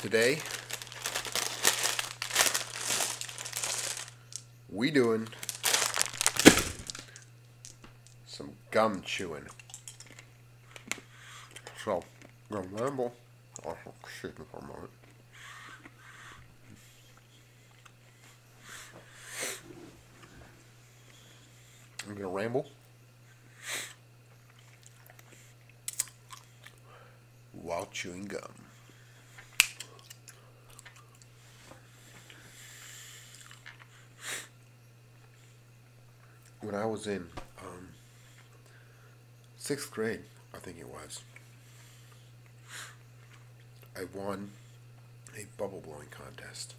Today, we doing some gum chewing. So, gonna ramble. Oh, excuse for a moment. I'm gonna ramble while chewing gum. When I was in um, sixth grade, I think it was, I won a bubble blowing contest.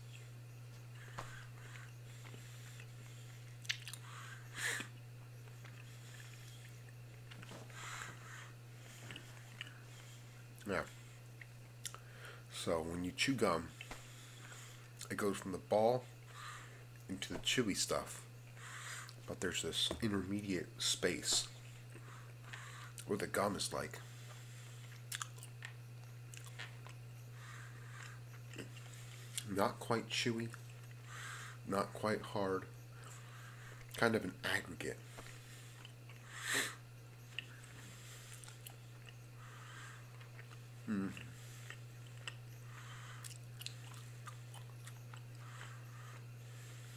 Yeah. so when you chew gum, it goes from the ball into the chewy stuff, but there's this intermediate space where the gum is like not quite chewy, not quite hard, kind of an aggregate. Hmm.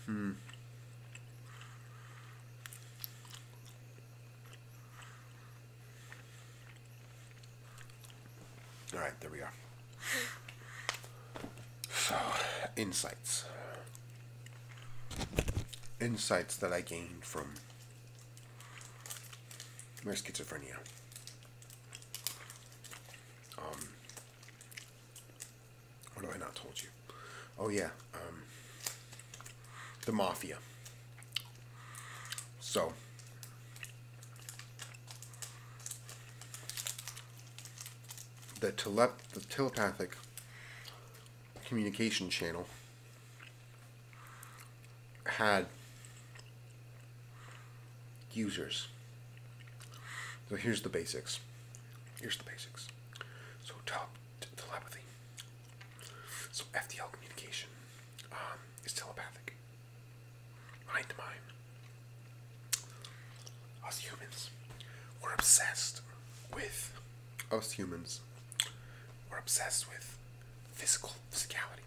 Hmm. All right, there we are. So, insights. Insights that I gained from my schizophrenia. Um, what have I not told you? Oh, yeah. Um, the mafia. So. The, telepathic communication channel had users. So here's the basics. Here's the basics. So tele telepathy. So FDL communication um, is telepathic. Mind mine. Us humans, we're obsessed with. Us humans, we're obsessed with physical physicality,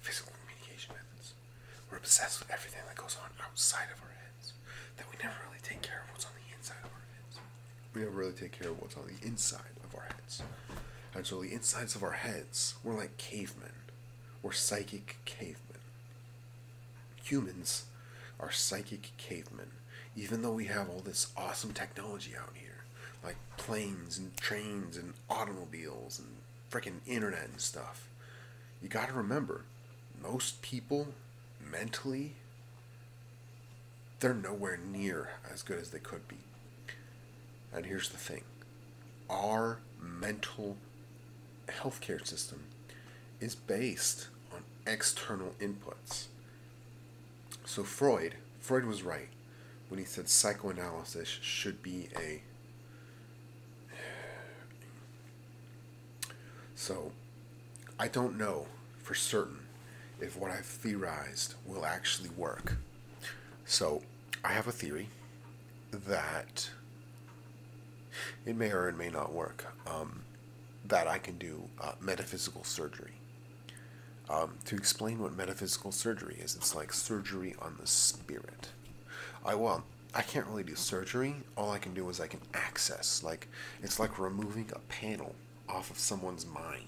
physical communication methods. We're obsessed with everything that goes on outside of our heads. That we never really take care of what's on the inside of our heads. We never really take care of what's on the inside of our heads until the insides of our heads were like cavemen. were psychic cavemen. Humans are psychic cavemen, even though we have all this awesome technology out here, like planes and trains and automobiles and freaking internet and stuff. You gotta remember, most people mentally, they're nowhere near as good as they could be. And here's the thing our mental healthcare system is based on external inputs. So Freud, Freud was right when he said psychoanalysis should be a So I don't know for certain if what I've theorized will actually work. So I have a theory that it may or it may not work. Um, that I can do uh, metaphysical surgery. Um, to explain what metaphysical surgery is, it's like surgery on the spirit. I well, I can't really do surgery. All I can do is I can access. Like it's like removing a panel off of someone's mind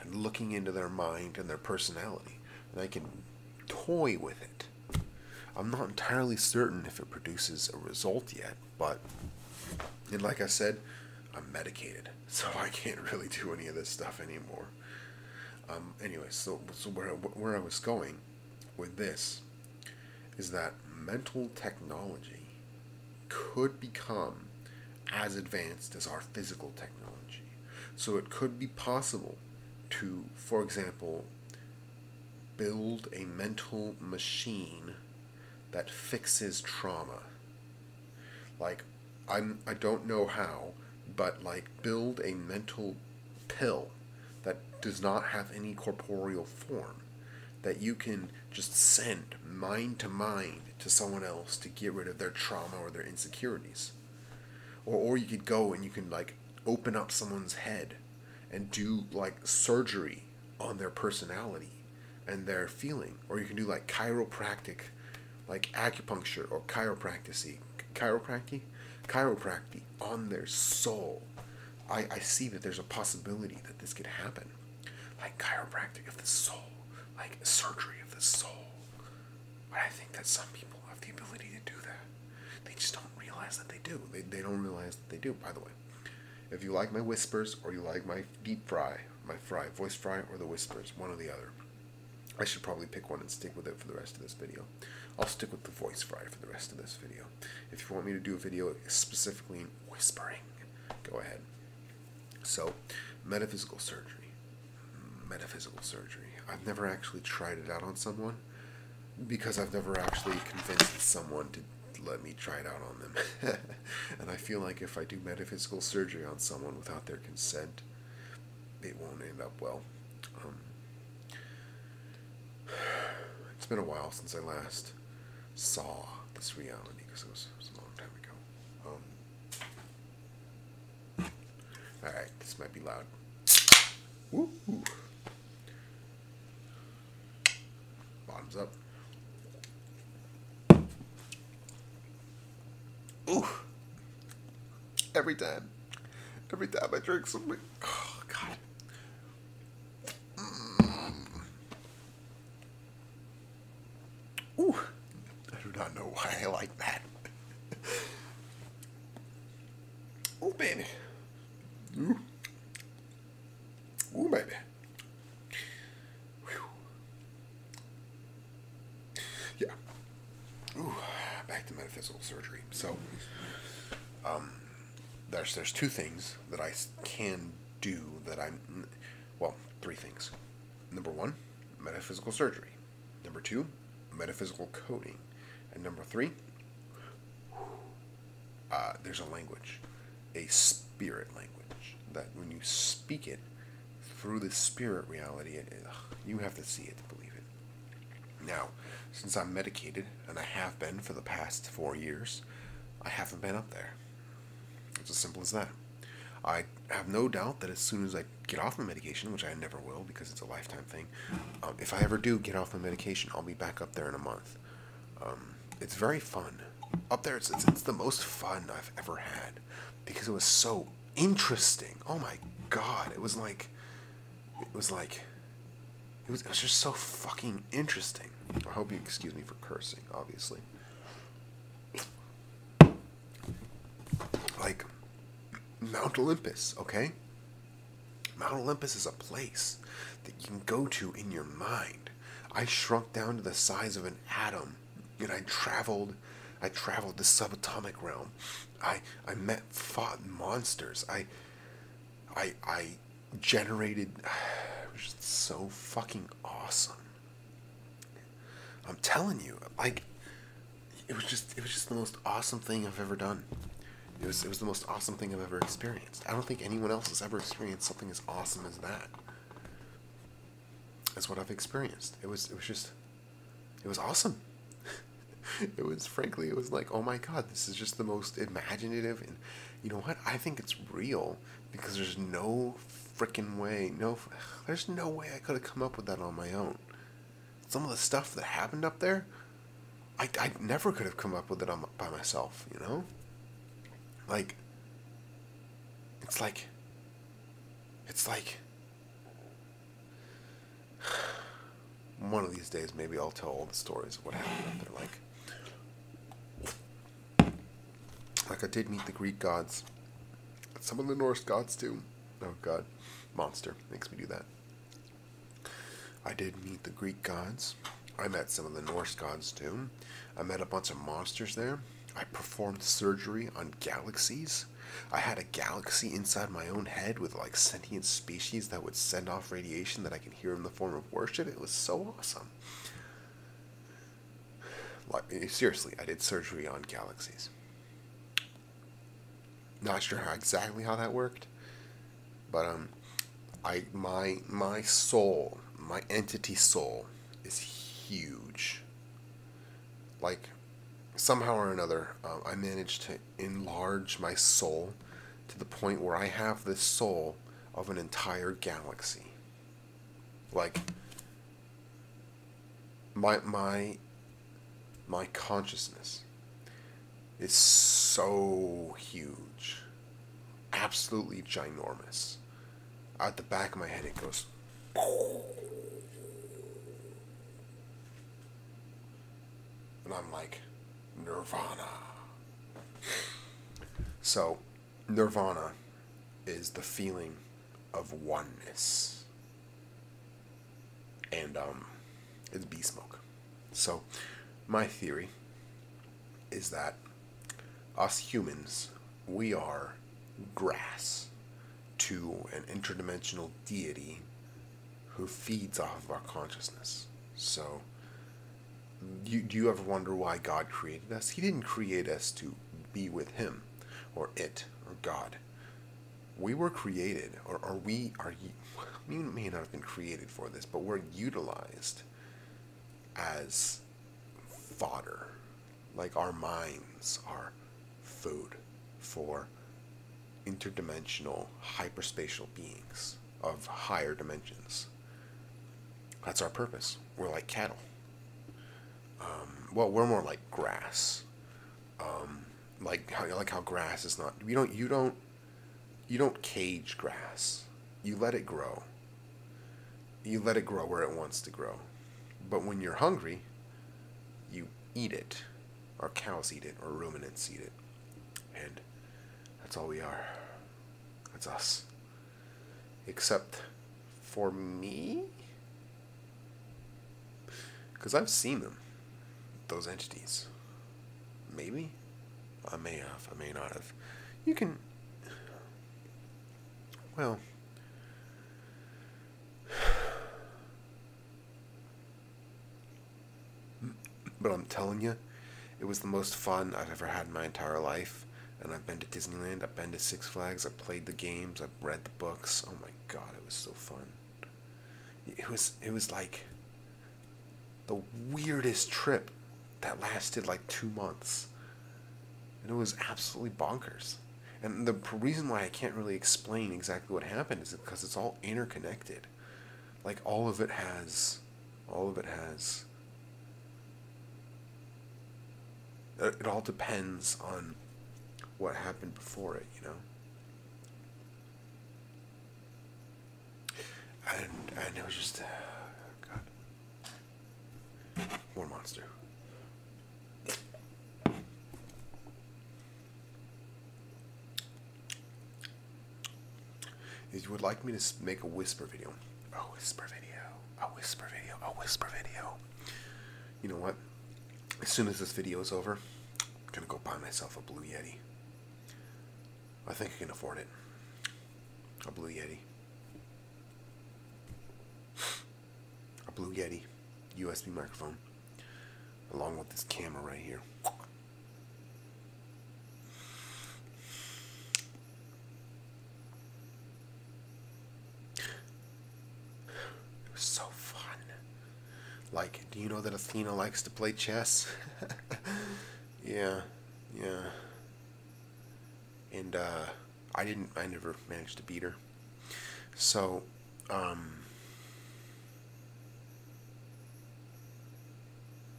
and looking into their mind and their personality, and I can toy with it. I'm not entirely certain if it produces a result yet, but and like I said, I'm medicated, so I can't really do any of this stuff anymore. Um, anyway, so, so where, where I was going with this is that mental technology could become as advanced as our physical technology. So it could be possible to, for example, build a mental machine that fixes trauma. Like, I'm, I don't know how, but like, build a mental pill that does not have any corporeal form that you can just send mind to mind to someone else to get rid of their trauma or their insecurities. Or, or you could go and you can like open up someone's head and do like surgery on their personality and their feeling. Or you can do like chiropractic, like acupuncture or chiropractic, chiropractic, chiropractic on their soul. I, I see that there's a possibility that this could happen. Like chiropractic of the soul, like surgery of the soul but I think that some people have the ability to do that. They just don't realize that they do. They, they don't realize that they do, by the way. If you like my whispers or you like my deep fry, my fry, voice fry or the whispers, one or the other. I should probably pick one and stick with it for the rest of this video. I'll stick with the voice fry for the rest of this video. If you want me to do a video specifically in whispering, go ahead. So, metaphysical surgery. Metaphysical surgery. I've never actually tried it out on someone because I've never actually convinced someone to let me try it out on them. and I feel like if I do metaphysical surgery on someone without their consent, it won't end up well. Um, it's been a while since I last saw this reality because it was, a long time ago. Um, Alright, this might be loud. Bottoms up. Ooh! Every time. Every time I drink something. Oh, God. Mm. Ooh, I do not know why I like that. Ooh, baby. Ooh, Ooh baby. Yeah. Ooh, back to metaphysical surgery. So, um, there's there's two things that I can do that I'm, well, three things. Number one, metaphysical surgery. Number two, metaphysical coding. And number three, uh, there's a language, a spirit language, that when you speak it through the spirit reality, you have to see it to believe it. Now, since I'm medicated, and I have been for the past four years, I haven't been up there. It's as simple as that. I have no doubt that as soon as I get off my medication, which I never will because it's a lifetime thing, um, if I ever do get off my medication, I'll be back up there in a month. Um, it's very fun. Up there, it's, it's the most fun I've ever had because it was so interesting. Oh my god, it was like, it was like, it was, it was just so fucking interesting. I hope you excuse me for cursing, obviously. Like Mount Olympus, okay? Mount Olympus is a place that you can go to in your mind. I shrunk down to the size of an atom and I traveled I traveled the subatomic realm. I I met fought monsters. I I I generated it was just so fucking awesome. I'm telling you, like it was just it was just the most awesome thing I've ever done. It was it was the most awesome thing I've ever experienced. I don't think anyone else has ever experienced something as awesome as that. That's what I've experienced. It was it was just it was awesome. it was frankly it was like, "Oh my god, this is just the most imaginative and you know what? I think it's real because there's no freaking way. No, there's no way I could have come up with that on my own. Some of the stuff that happened up there, I, I never could have come up with it on, by myself, you know? Like, it's like, it's like, one of these days maybe I'll tell all the stories of what happened up there. Like, like I did meet the Greek gods, some of the Norse gods too. Oh God, monster makes me do that. I did meet the Greek gods. I met some of the Norse gods too. I met a bunch of monsters there. I performed surgery on galaxies. I had a galaxy inside my own head with like sentient species that would send off radiation that I can hear in the form of worship. It was so awesome. Like, eh, seriously, I did surgery on galaxies. Not sure exactly how that worked, but um, I my my soul, my entity soul, is huge. Like, somehow or another, um, I managed to enlarge my soul to the point where I have the soul of an entire galaxy. Like my my my consciousness is so huge. Absolutely ginormous. Out the back of my head it goes and I'm like Nirvana. So Nirvana is the feeling of oneness. And um, it's bee smoke. So, my theory is that us humans, we are grass to an interdimensional deity who feeds off of our consciousness. So, do you ever wonder why God created us? He didn't create us to be with Him or it or God. We were created, or, are we are, you? we may not have been created for this, but we're utilized as fodder. Like our minds are food for interdimensional hyperspatial beings of higher dimensions. That's our purpose. We're like cattle. Um, well, we're more like grass. Um, like how like how grass is not. You don't you don't you don't cage grass. You let it grow. You let it grow where it wants to grow. But when you're hungry, you eat it. Or cows eat it, or ruminants eat it. And that's all we are. That's us. Except for me? Because I've seen them, those entities. Maybe? I may have, I may not have. You can. Well. But I'm telling you, it was the most fun I've ever had in my entire life. And I've been to Disneyland, I've been to Six Flags, I've played the games, I've read the books. Oh my god, it was so fun. It was it was like the weirdest trip that lasted like two months. And it was absolutely bonkers. And the reason why I can't really explain exactly what happened is because it's all interconnected. Like all of it has. All of it has. It all depends on what happened before it, you know? And, and it was just. Uh, God. More monster. If you would like me to make a whisper video. A whisper video. A whisper video. A whisper video. You know what? As soon as this video is over, I'm going to go buy myself a Blue Yeti. I think I can afford it. A Blue Yeti. A Blue Yeti USB microphone. Along with this camera right here. It was so fun. Like, do you know that Athena likes to play chess? yeah, yeah. And uh, I didn't. I never managed to beat her. So, um,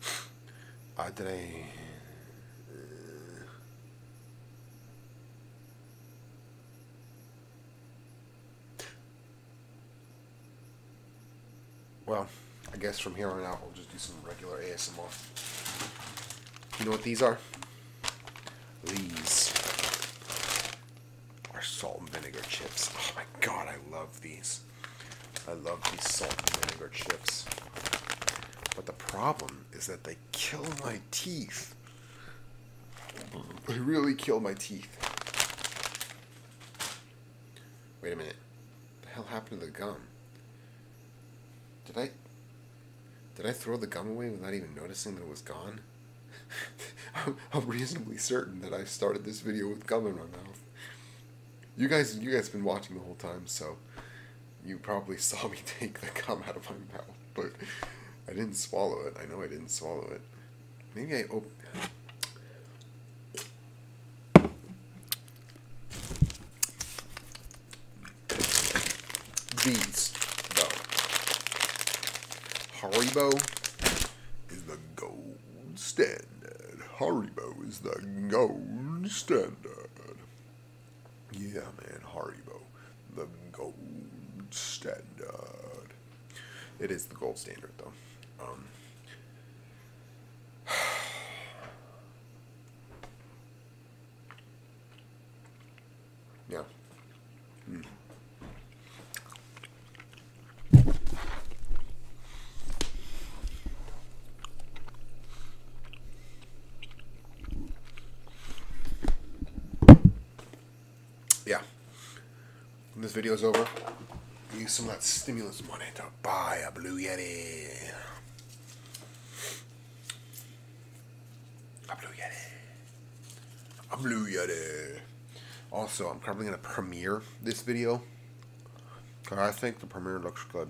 Adrien. Uh, well, I guess from here on out, we'll just do some regular ASMR. You know what these are? These are salt and vinegar chips. Oh my god, I love these. I love these salt and vinegar chips. But the problem is that they kill my teeth. They really kill my teeth. Wait a minute. What the hell happened to the gum? Did I did I throw the gum away without even noticing that it was gone? I'm reasonably certain that I started this video with gum in my mouth. You guys, you guys been watching the whole time, so you probably saw me take the gum out of my mouth, but I didn't swallow it. I know I didn't swallow it. Maybe I opened. These, though. Haribo is the goal standard. Haribo is the gold standard. Yeah, man, Haribo, the gold standard. It is the gold standard, though. Um, yeah. Hmm. Yeah. When this video is over, use some of that stimulus money to buy a Blue Yeti. A Blue Yeti. A Blue Yeti. Also, I'm probably going to premiere this video I think the premiere looks good.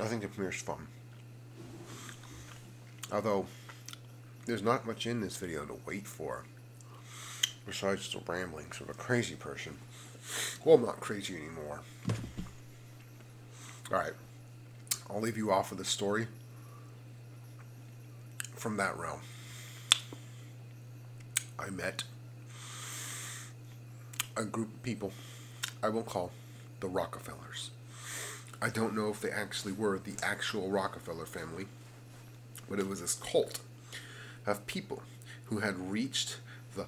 I think the premiere is fun. Although, there's not much in this video to wait for. Besides the ramblings of a crazy person. Well, I'm not crazy anymore. Alright. I'll leave you off with a story from that realm. I met a group of people I will call the Rockefellers. I don't know if they actually were the actual Rockefeller family, but it was this cult of people who had reached the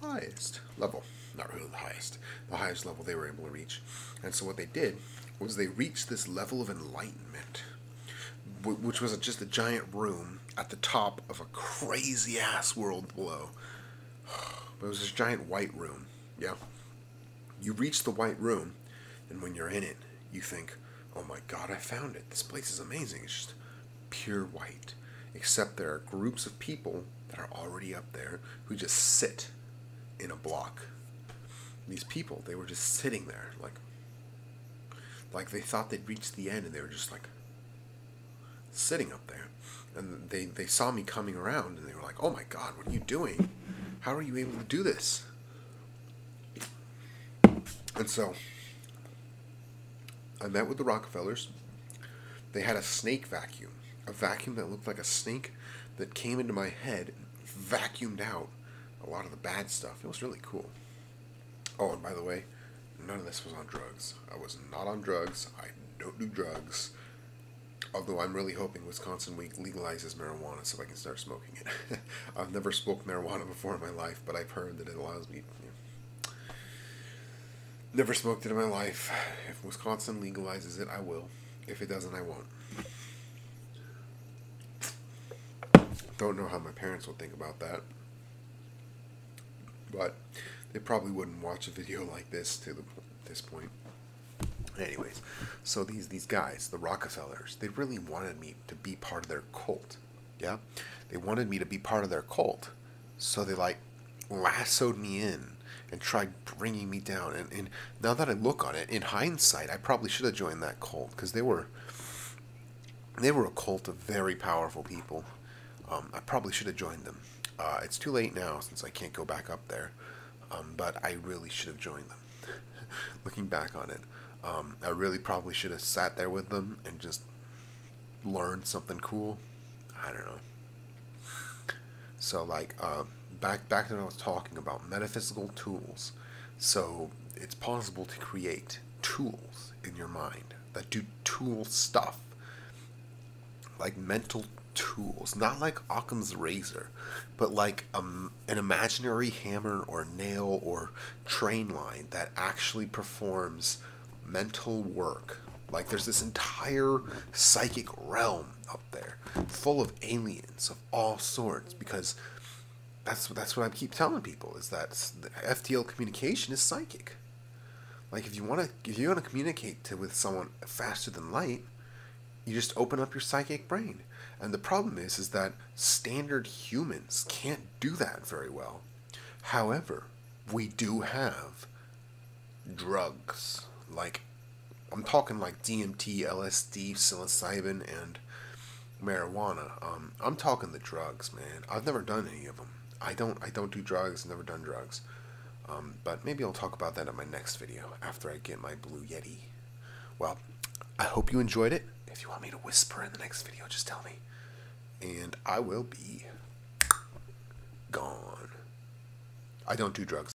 highest level. Not really the highest, the highest level they were able to reach. And so what they did was they reached this level of enlightenment which was just a giant room at the top of a crazy ass world below. But it was this giant white room. Yeah. You reach the white room, and when you're in it, you think, oh my god, I found it. This place is amazing. It's just pure white. Except there are groups of people that are already up there who just sit in a block these people they were just sitting there like like they thought they'd reached the end and they were just like sitting up there and they they saw me coming around and they were like oh my god what are you doing how are you able to do this and so i met with the rockefellers they had a snake vacuum a vacuum that looked like a snake that came into my head and vacuumed out a lot of the bad stuff. It was really cool. Oh, and by the way, none of this was on drugs. I was not on drugs. I don't do drugs. Although I'm really hoping Wisconsin Week legalizes marijuana so I can start smoking it. I've never smoked marijuana before in my life, but I've heard that it allows me. You never smoked it in my life. If Wisconsin legalizes it, I will. If it doesn't, I won't out. Don't know how my parents would think about that. But they probably wouldn't watch a video like this to this point. Anyways, so these these guys, the Rockefellers, they really wanted me to be part of their cult. Yeah, they wanted me to be part of their cult. So they like lassoed me in and tried bringing me down. And, and now that I look on it, in hindsight, I probably should have joined that cult because they were they were a cult of very powerful people. Um, I probably should have joined them. Uh, it's too late now since I can't go back up there, um, but I really should have joined them. Looking back on it, um, I really probably should have sat there with them and just learned something cool. I don't know. So like um, back back then I was talking about metaphysical tools. So it's possible to create tools in your mind that do tool stuff, like mental tools, not like Occam's razor, but like um, an imaginary hammer or nail or train line that actually performs mental work. Like there's this entire psychic realm up there full of aliens, all sorts because that's that's what I keep telling people is that FTL communication is psychic. Like if you want to if you want to communicate with someone faster than light, you just open up your psychic brain. And the problem is is that standard humans can't do that very well. However, we do have drugs like I'm talking like DMT, LSD, psilocybin, and marijuana. Um, I'm talking the drugs, man. I've never done any of them. I don't. I don't do drugs. Never done drugs. Um, but maybe I'll talk about that in my next video after I get my Blue Yeti. Well, I hope you enjoyed it. If you want me to whisper in the next video, just tell me, and I will be gone. I don't do drugs.